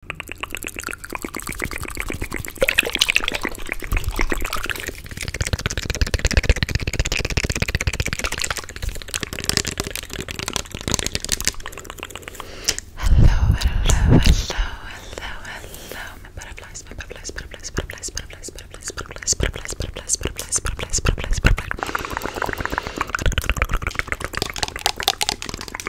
hello, hello, hello, my butterflies, my butterflies, butterflies, butterflies, butterflies, butterflies, butterflies, butterflies, butterflies, butterflies, butterflies, butterflies, butterflies.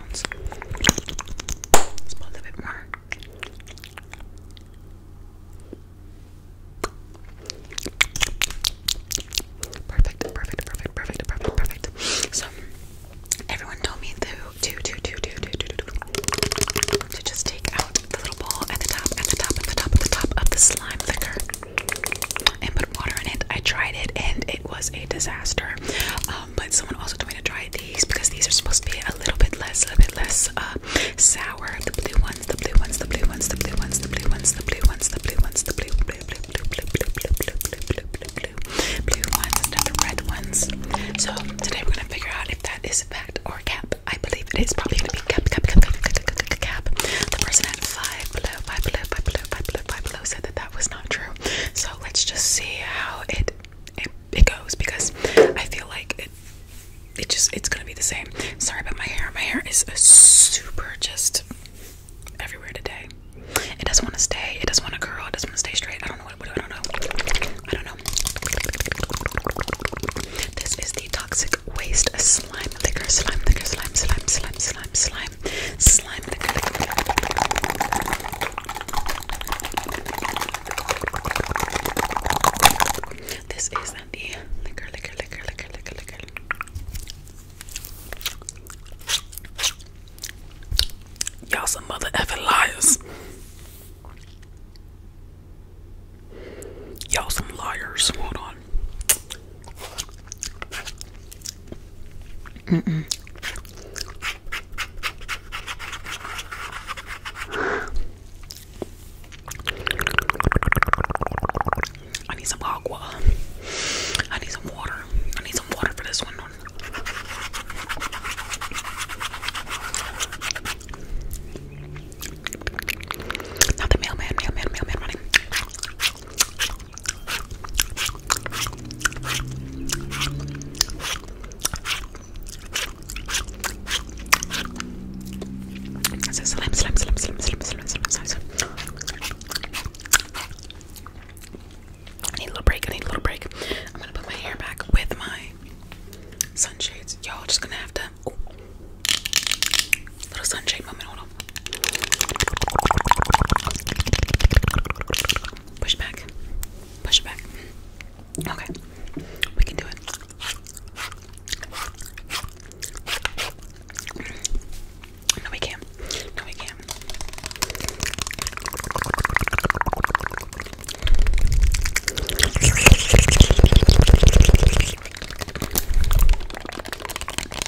Perfect, perfect, perfect, perfect, perfect, perfect. So everyone told me to, to, to, to, to, to, to, to, to just take out the little ball at the top, at the top, at the top, at the top of the slime liquor and put water in it. I tried it and it was a disaster. Um, um, but someone also told me to try these because these are supposed to be a little bit less, a little bit less uh, sour. The blue ones, the blue ones, the blue ones, the blue ones, the blue ones, the blue ones, the blue ones, the blue, blue, blue, blue, blue, blue, blue, blue, blue, blue, blue, blue ones, not the red ones. So today we're gonna figure out if that is fact or cap. I believe it is probably gonna be cap, cap, cap, cap, cap, cap, cap. The person at five below, five below, five below, five below, five below said that that was not true. So let's just see how it it, goes because I feel like it it just it's gonna be the same. Sorry about my hair. My hair is super just everywhere today. It doesn't want to stay. It doesn't want to curl. It doesn't want to stay straight. I don't know what, do. I don't know. I don't know. This is the toxic waste slime liquor slime liquor slime slime slime slime slime slime, slime. This is the liquor, liquor, liquor, liquor, liquor, liquor. Y'all some mother effing liars. Y'all some liars. Hold on. Mm -mm. I need some aqua. I need some water. I need some water for this one. Not mailman, mailman, mailman running. So I need a little break. I need a little break. I'm gonna put my hair back with my sunshades. Y'all just gonna have to. Push back. Push back. Okay. We can do it. No, we can't. No, we can't.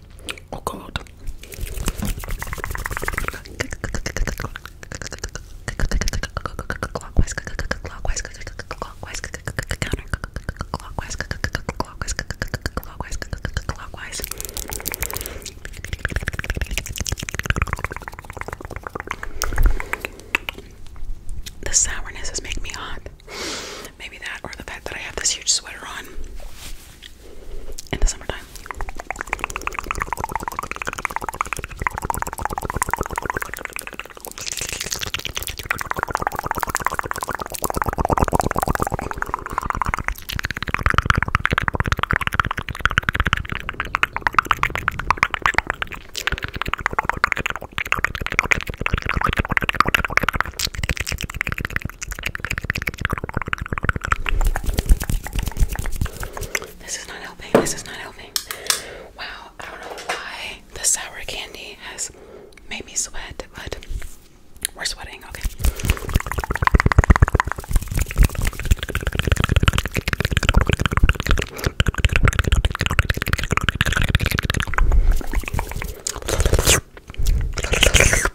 Oh, the sourness is making me hot. Maybe that or the fact that I have this huge sweater on in the summertime. This is not helping. This is not helping. Wow, I don't know why the sour candy has made me sweat, but we're sweating, okay.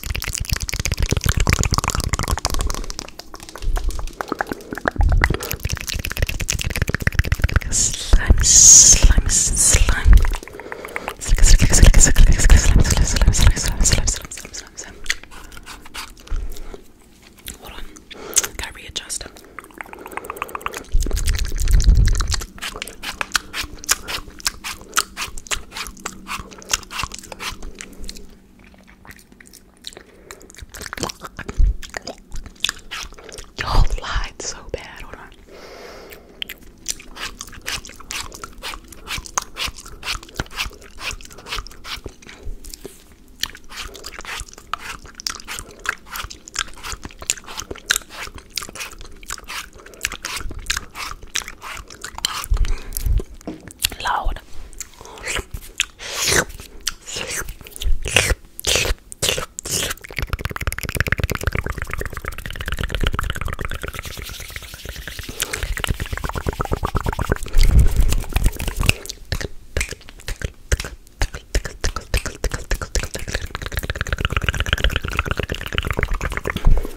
Slime, slime, slime. Slick, slick, slick, slick, slick, slime, slime, slime, slime, slime, slime, slime, slime, slime, slime. Hold on. Gotta readjust. Y'all lied so bad. Hold on. Loud.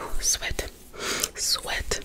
Oh, sweat, sweat.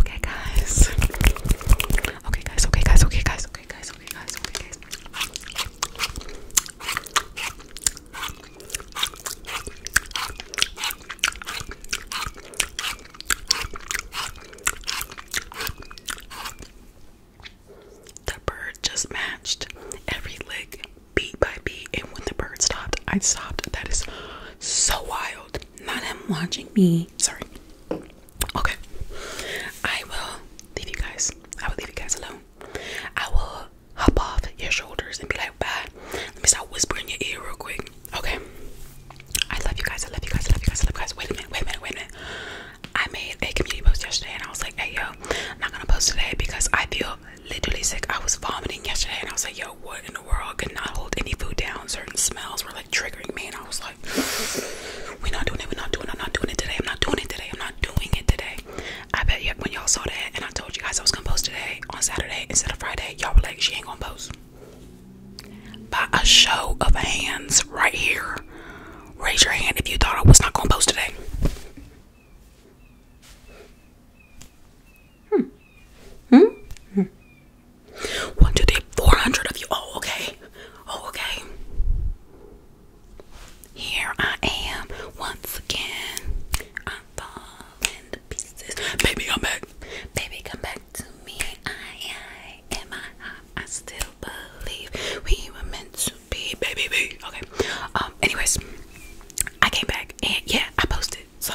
Okay, guys. Okay, guys. Okay, guys. Okay, guys. Okay, guys. Okay, guys. Okay, guys. The bird just matched every lick beat by beat, and when the bird stopped, I stopped. That is so wild not him watching me. Sorry. Okay. I will leave you guys. I will leave you guys alone. I will hop off your shoulders and be like, bye. Let me start whispering your ear real quick. Okay. I love you guys. I love you guys. I love you guys. I love you guys. Wait a minute. Wait a minute. Wait a minute. I made a community post yesterday and I was like, hey, yo, I'm not going to post today because I feel literally sick. I was vomiting yesterday and I was like, yo, what in world. I could not hold any food down. Certain smells were like triggering me, and I was like, "We're not doing it. We're not doing. It. I'm not doing it today. I'm not doing it today. I'm not doing it today." I bet you when y'all saw that, and I told you guys I was gonna post today on Saturday instead of Friday, y'all were like, "She ain't gonna post." By a show of hands, right here, raise your hand if you thought I was not gonna post today. Hmm. Hmm. Hmm. One, two, three, four hundred of you. Oh, okay. Oh, okay. Here I am once again. I'm falling to pieces. Baby, come back. Baby, come back to me. I, I, in my I still believe we were meant to be. Baby, baby. Okay. Um. Anyways, I came back and yeah, I posted. So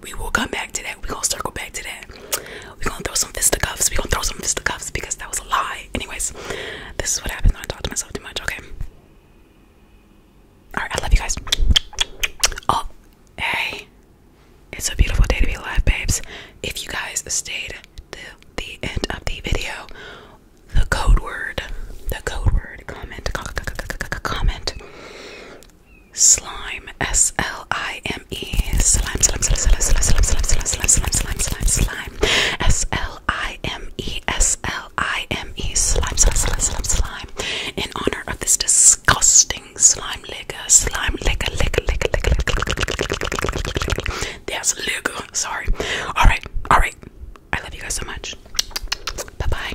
we will come back to that. We're gonna circle back to that. We're gonna throw some fisticuffs. We're gonna throw some fisticuffs because that was a lie. Anyways, this is what happens when I talk to myself too much, okay? Alright, I love you guys. Oh, hey. It's a beautiful day to be alive, babes. If you guys stayed to the end of the video, the code word, the code word, comment, comment, slime S L I M E slime slime slime slime slime slime slime slime slime slime slime S L I M E S L I M E slime slime slime slime slime in honor of this disgusting slime liquor slime liquor liquor liquor liquor there's liquor sorry all right all right I love you guys so much bye bye